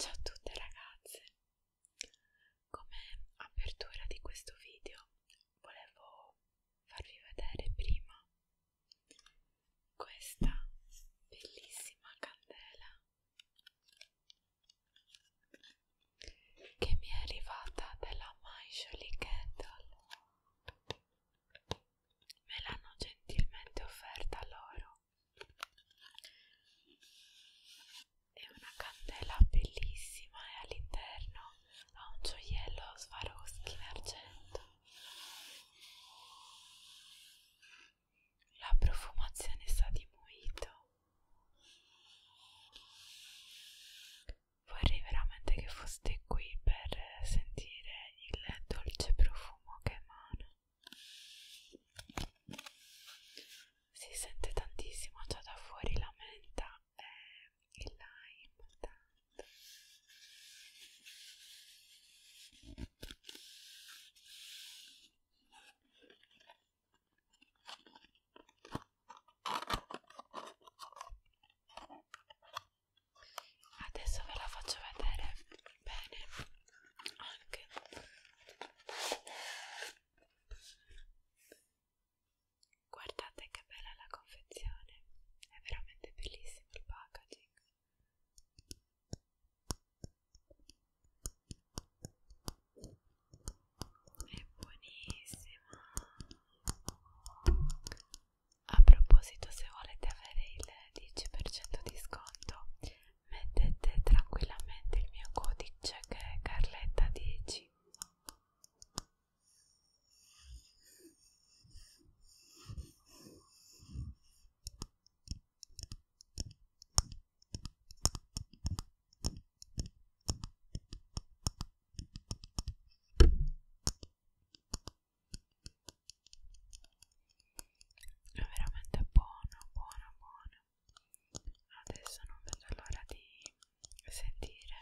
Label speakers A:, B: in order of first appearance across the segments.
A: Ciao a tutte ragazze! Come apertura di questo video volevo farvi vedere prima questa bellissima candela che mi è arrivata dalla My Jolie Candle me l'hanno gentilmente offerta loro è una candela bellissima e all'interno ha un gioiello Swarovski in argento. La profumazione sa di muito. Vorrei veramente che foste qui per sentire il dolce profumo che emana si sente tantissimo già da fuori la menta e eh, il lime tanto. Adesso ve la faccio vedere bene anche guardate che bella la confezione è veramente bellissimo il packaging è buonissimo a proposito se volete avere il 10% di sconto mettete tranquillamente il mio codice che è Carletta 10 è veramente buona buona buona adesso non vedo l'ora di sentire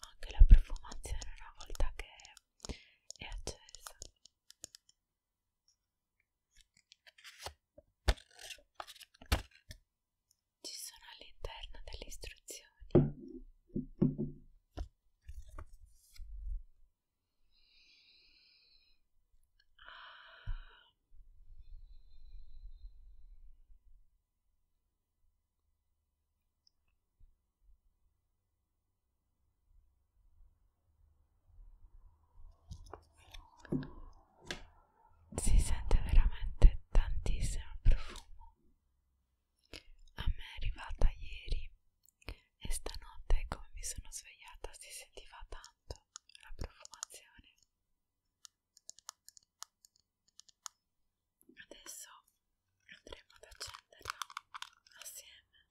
A: anche la profumazione una volta che è accesa ci sono all'interno delle istruzioni si sente veramente tantissimo il profumo. A me è arrivata ieri e stanotte, come mi sono svegliata, si sentiva tanto la profumazione. Adesso andremo ad accenderla assieme.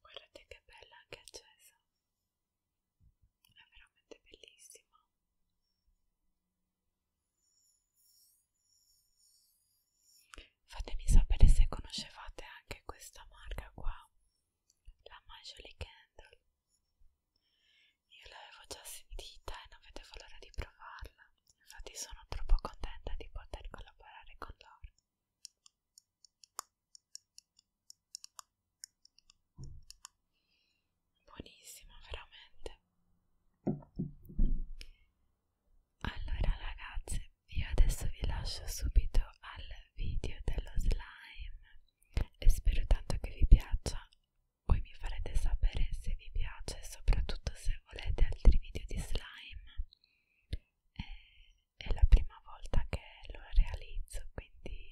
A: Guardate che bella che accesa è veramente bellissima fatemi sapere se conoscevate anche questa marca qua la My Jolie Candle io l'avevo già sentita e non vedevo l'ora di provarla infatti sono troppo contenta di poter collaborare con loro buonissima veramente allora ragazze io adesso vi lascio subito al video dello slime e spero tanto che vi piaccia voi mi farete sapere se vi piace e soprattutto se volete altri video di slime è, eh, è la prima volta che lo realizzo quindi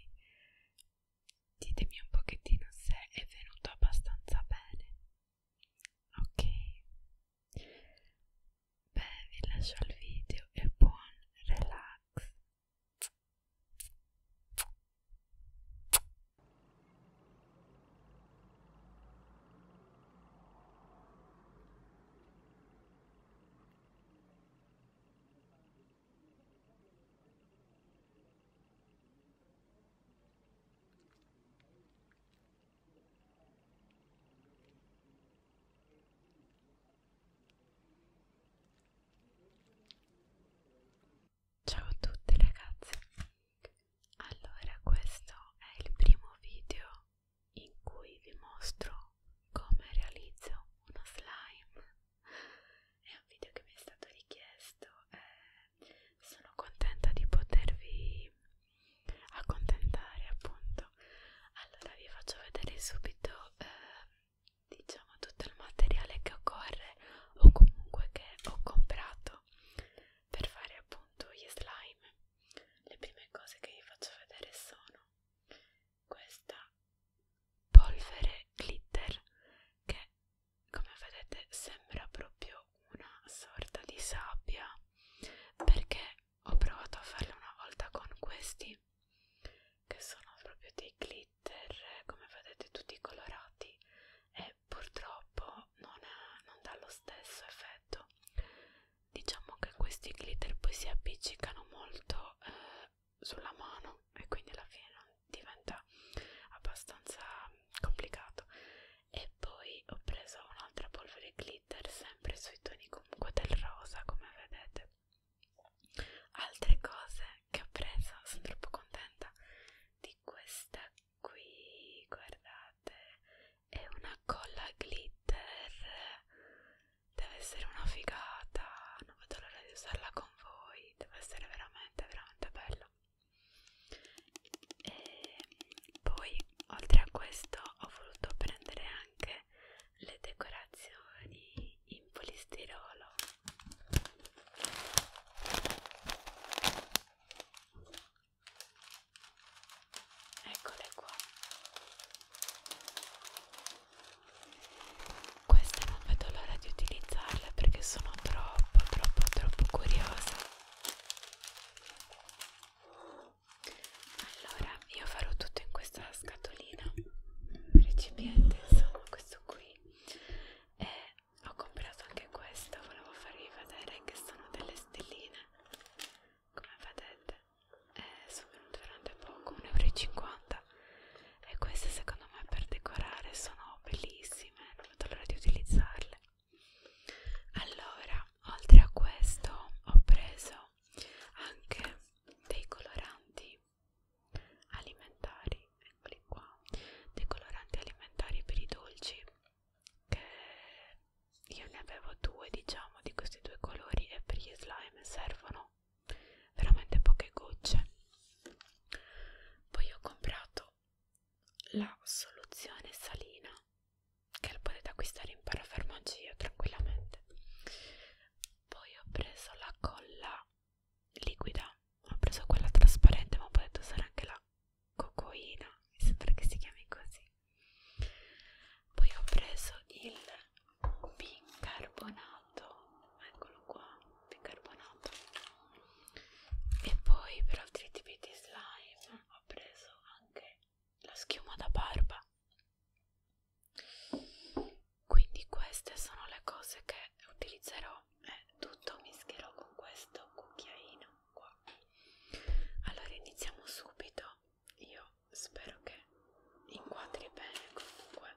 A: ditemi un pochettino se è venuto abbastanza bene ok beh vi lascio il video e buon relax Ciao a tutti ragazzi, allora questo è il primo video in cui vi mostro come realizzo uno slime è un video che mi è stato richiesto e eh, sono contenta di potervi accontentare appunto allora vi faccio vedere subito eh, diciamo tutto il materiale che occorre o comunque che ho comprato per fare appunto gli slime le prime cose che vi faccio vedere sono questa polvere glitter che come vedete sembra proprio una sorta di sabbia perché ho provato a farla una volta con questi che sono proprio dei glitter come vedete tutti colorati e purtroppo non, è, non dà lo stesso effetto diciamo che questi glitter poi si appiccicano molto eh, sulla mano e quindi alla fine non diventa abbastanza complicato e poi ho preso un'altra polvere glitter sempre sui toni comunque del rosa come vedete altre cose che ho preso sono troppo contenta di questa qui guardate è una colla glitter deve essere una figata, non vedo l'ora di usarla con voi, deve essere veramente veramente bella e poi oltre a questo ho voluto prendere anche le decorazioni in polistirolo eccole qua queste non vedo l'ora di utilizzarle perché sono troppo troppo troppo curiosa allora io farò tutto in questa scatolina recipiente insomma questo qui e ho comprato anche questo volevo farvi vedere che sono delle stelline come vedete eh, sono venute veramente poco 1,50 euro casa e queste secondo me per decorare sono bellissime non vedo l'ora di utilizzarle allora oltre a questo ho preso anche dei coloranti alimentari eccoli qua dei coloranti alimentari per i dolci che io ne avevo due diciamo di questi due colori e per gli slime servono veramente poche gocce poi ho comprato la soluzione salina che la potete acquistare in parafarmacia tranquillamente poi ho preso la colla liquida ho preso quella trasparente ma potete usare anche la cocoina mi sembra che si chiami così poi ho preso il bicarbonato eccolo qua bicarbonato e poi per altri tipi di slime ho preso anche la schiuma da barba quindi queste sono le cose che utilizzerò e eh, tutto mischierò con questo cucchiaino qua allora iniziamo subito io spero che inquadri bene comunque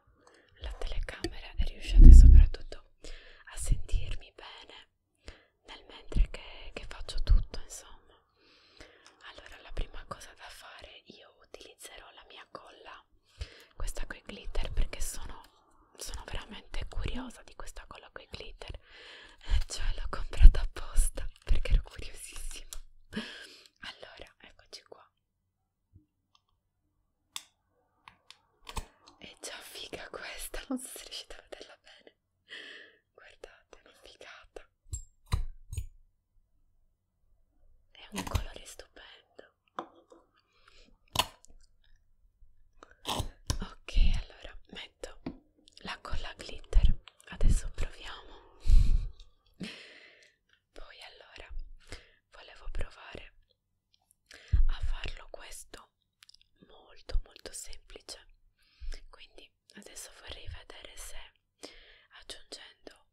A: la telecamera e riusciate soprattutto a sentirmi bene nel mentre che, che faccio tutto insomma allora la prima cosa da fare io utilizzerò la mia colla questa coi glitter perché sono, sono veramente curiosa di questa colla coi glitter eh, cioè l'ho comprata apposta perché ero curiosissima allora eccoci qua è già figa questa, non so se riuscite a vederla bene. Guardate, è una figata. È un colore stupendo. Ok, allora metto la colla glitter. Adesso proviamo. Poi allora volevo provare a farlo questo molto molto semplice. Quindi adesso vorrei vedere se aggiungendo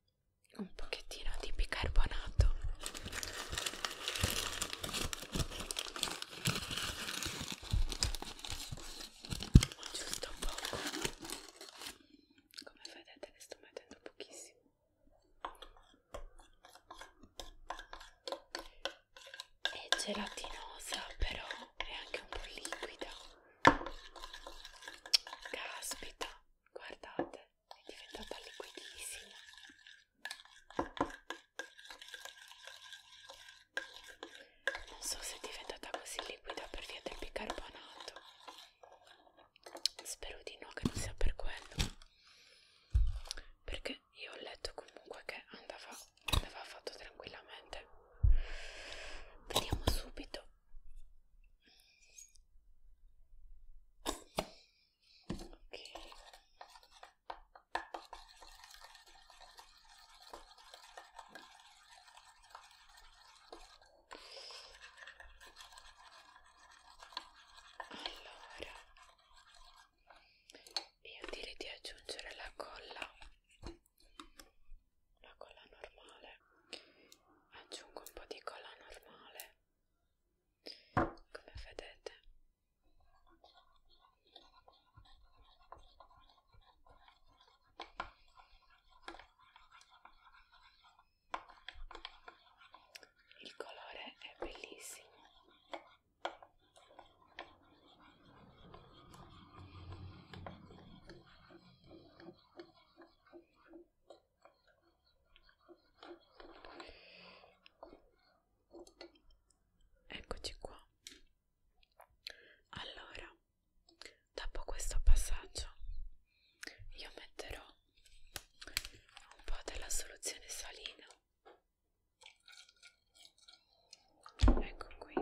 A: un pochettino di bicarbonato giusto poco come vedete ne sto mettendo pochissimo è gelatinosa però è anche un po' liquida caspita guardate è diventata liquidissima non so se è diventata così liquida per via del bicarbonato spero di no che non sia per quello perché io ho letto comunque che andava, andava fatto tranquillamente vediamo subito ok allora io direi di aggiungere la colla la colla normale aggiungo un po' di colla normale come vedete il colore è bellissimo Eccoci qua. Allora, dopo questo passaggio io metterò un po' della soluzione salina ecco qui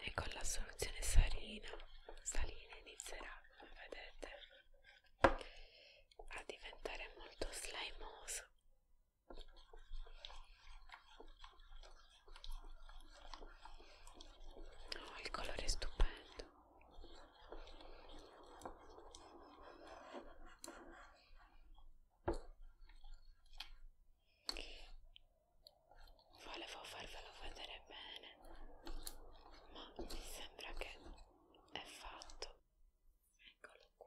A: e con la soluzione salina salina inizierà come vedete a diventare molto slimoso Oh, il colore è stupendo. Volevo farvelo vedere bene, ma mi sembra che è fatto. Eccolo qua.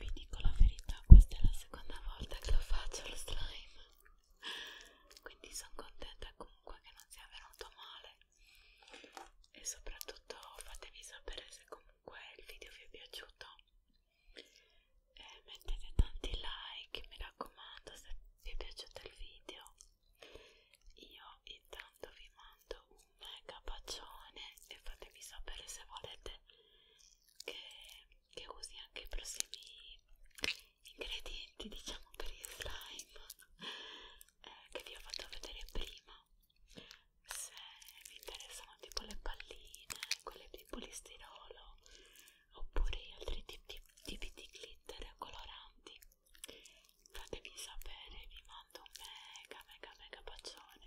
A: Vi dico la verità, questa è la seconda volta che lo faccio lo slime quindi sono contenta comunque che non sia venuto male e soprattutto fatemi sapere se comunque il video vi è piaciuto e mettete tanti like mi raccomando se vi è piaciuto il video io intanto vi mando un mega bacione e fatemi sapere se volete che, che usi anche i prossimi ingredienti diciamo per il slime eh, che vi ho fatto vedere prima se vi interessano tipo le palline quelle di polistirolo oppure altri tipi, tipi di glitter coloranti fatemi sapere vi mando un mega mega mega bacione